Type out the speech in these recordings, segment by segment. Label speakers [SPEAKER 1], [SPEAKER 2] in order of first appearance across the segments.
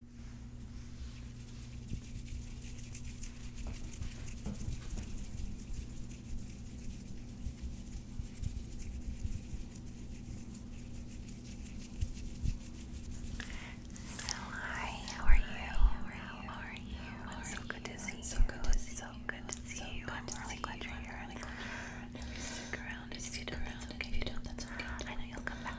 [SPEAKER 1] So hi, how are you? How are you? It's so good to see you. So good to see you. I'm really glad you're you're here. Stick around. If you don't, that's okay. that's okay. I know you'll come back.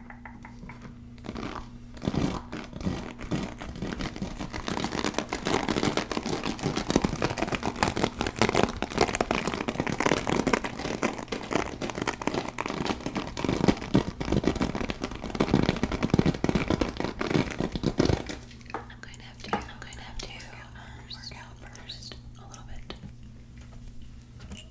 [SPEAKER 1] I'm going to have to, I'm going to have to um, work out first a little bit. Okay.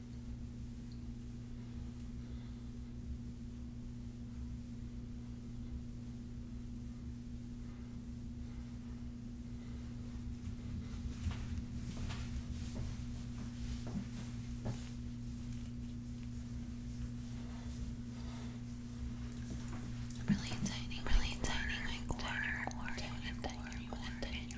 [SPEAKER 1] Really tiny, really tiny, like quarter, quarter, quarter, quarter,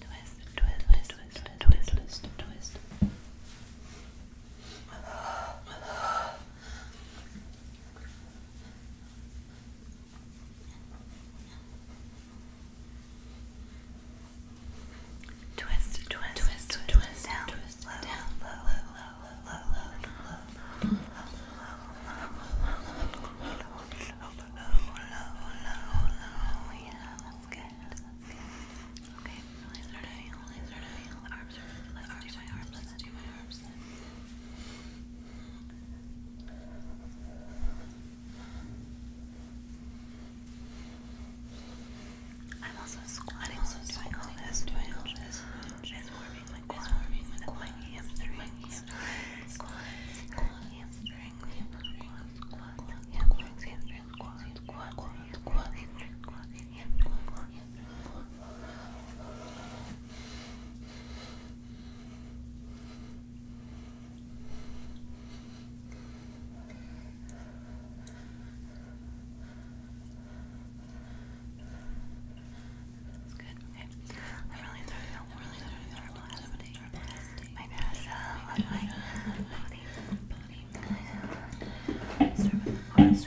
[SPEAKER 1] Twist, twist, twist, twist, twist, twist. Twist, twist, twist, twist, twist, down, twist, down, low, low, low, that's good. Okay, release her down, release her down. The arms are, let's do my arms, let's do my arms. I'm also squatting, so doing all this, doing all this. It's warming my core, my hamstrings, squat, hamstrings, squat, hamstrings, hamstrings, squat, squat, squat, hamstrings, squat, Good. That's good. I'm really sorry. really sorry. really sorry. My national, my body, body. arms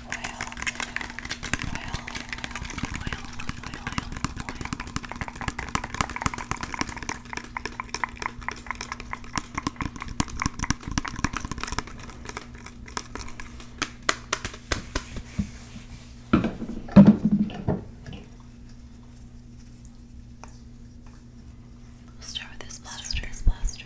[SPEAKER 1] We'll start with this plaster. Start with this plaster.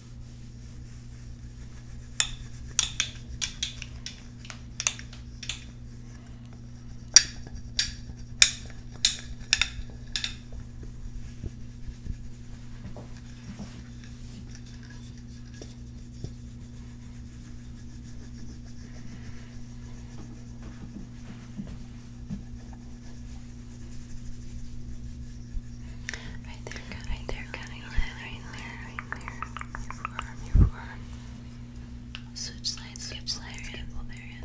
[SPEAKER 1] Right there, right there, cutting right there right there. Your forearm, your forearm. Switch side, switch side, your elbow area.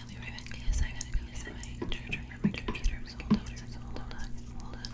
[SPEAKER 1] Okay, I'll be right back. Yes, I gotta go yes, get I my charger for my computer. So hold on, so hold on, hold on, hold on.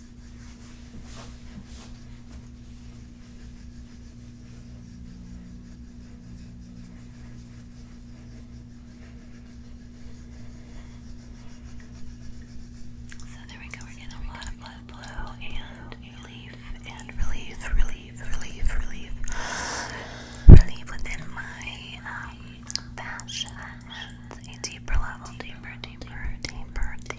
[SPEAKER 1] So there we go, we're getting a lot of blood flow and relief and relief, relief, relief, relief, relief within my um, fascia a deeper level, deeper, deeper, deeper, deeper,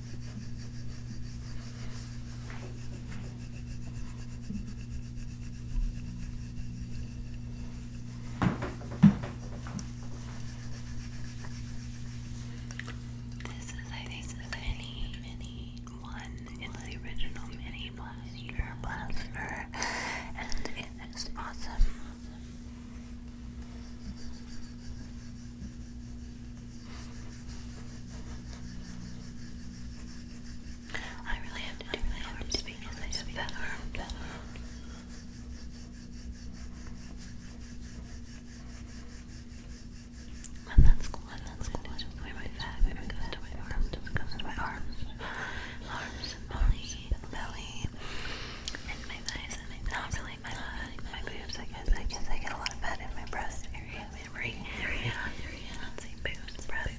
[SPEAKER 1] This is, I mini, mini one. It's the original mini blaster blaster, and it is awesome. I really have to I really have to speak because I speak better. better. And that's cool. And that's cool. Just wear my back. Wear goes to my arms. Just goes to my arms. Arms belly, belly, and my thighs and my belly my, my, my, boobs, I guess, I guess I get a lot of fat in my breast area, my right area, let's see, boobs, breast,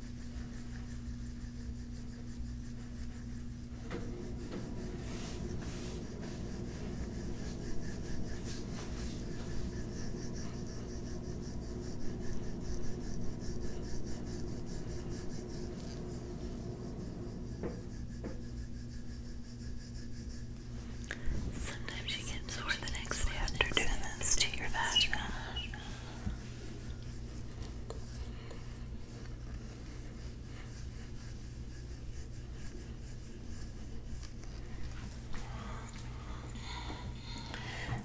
[SPEAKER 1] Sometimes you get sore the next day to your vagina.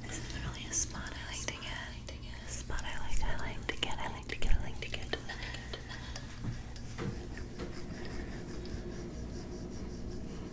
[SPEAKER 1] This is really a spot I like to get. A spot I like. I like to get. I like to get. I like to get.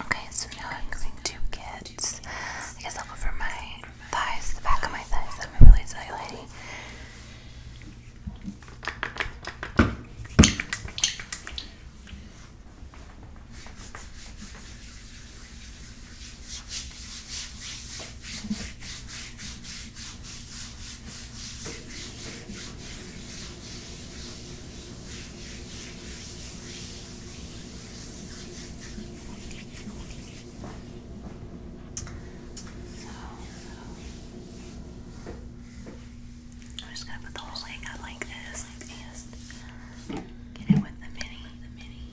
[SPEAKER 1] Okay, so now I'm going to get, I guess I'll go for my thighs, the back of my thighs. I'm really excited. Okay, so, I'm just gonna put the whole leg out like this, like this. Get it with the mini, the mini.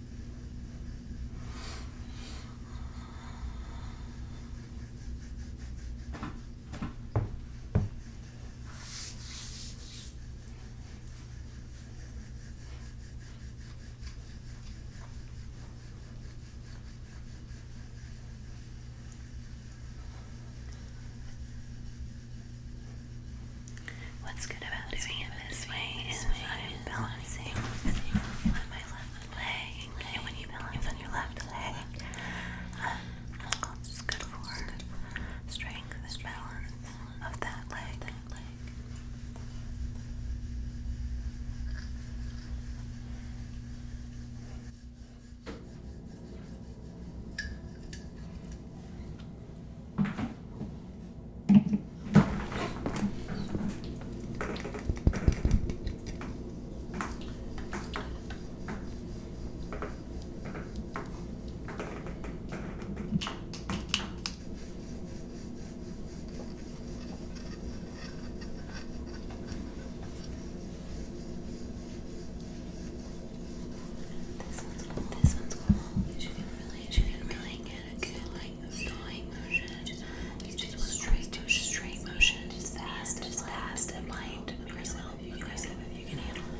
[SPEAKER 1] What's good about doing it this way is I'm balancing on my left leg. And when you balance on your left leg, um, it's good for strength and balance of that leg. This one's cool. You should really, you should really get a good like straight, motion. just want straight to straight motion. Just fast, just fast and blind. Aggressive, aggressive if you can handle it.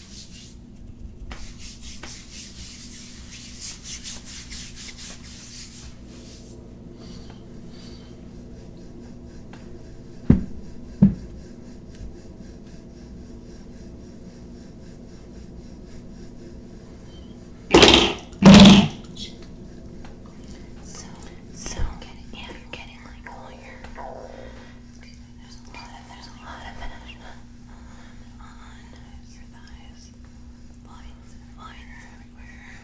[SPEAKER 1] So, so, yeah, I'm getting like all your there's a lot of there's a lot of management on your thighs. Lines, lines everywhere.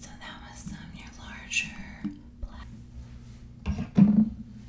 [SPEAKER 1] So that was some your larger black.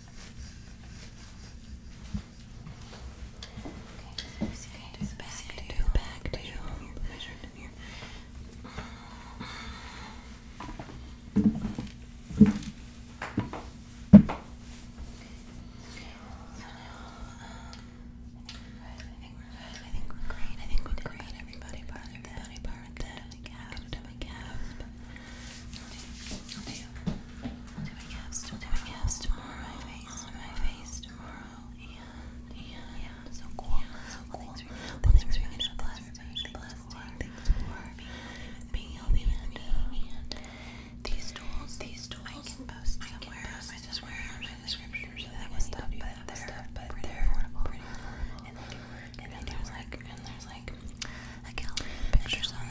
[SPEAKER 1] Okay, so okay, so back, back to, back to, measure to here. Okay, so now, um, I think we're good, I think we're great, I think we're great, everybody part of that, everybody part of that, my calves, my calves, but I'll do, I'll do my calves, I'll do my calves tomorrow, my face, my face tomorrow, and, and, yeah, so cool, so cool. Thanks for, well, thanks for getting the blessing, thanks being healthy and these tools, these tools, I can post I just wear them in the descriptions and that stuff, but they're pretty affordable, and they do and there's like, like a gallery of pictures on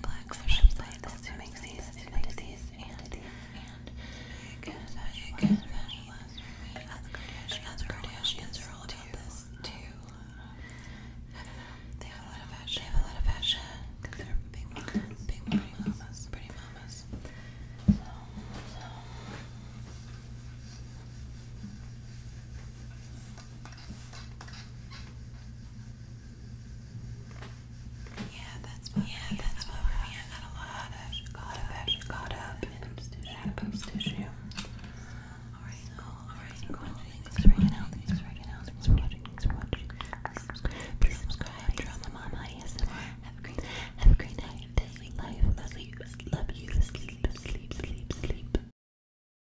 [SPEAKER 1] black fashion plants these, who makes these, and these, and the Kardashians, the Kardashians are all about this too. They have a lot of fashion. They have a lot of fashion. They're big big pretty mamas, pretty mamas. Yeah, that's what yeah, that's me. I got a lot of caught up, caught up in post tissue. All right, so, all right, cool. Thanks for watching. Thanks for watching. Please subscribe. Please subscribe. Mama Have a great, have a great night. Life, sleep, love you. Sleep, sleep, sleep, sleep.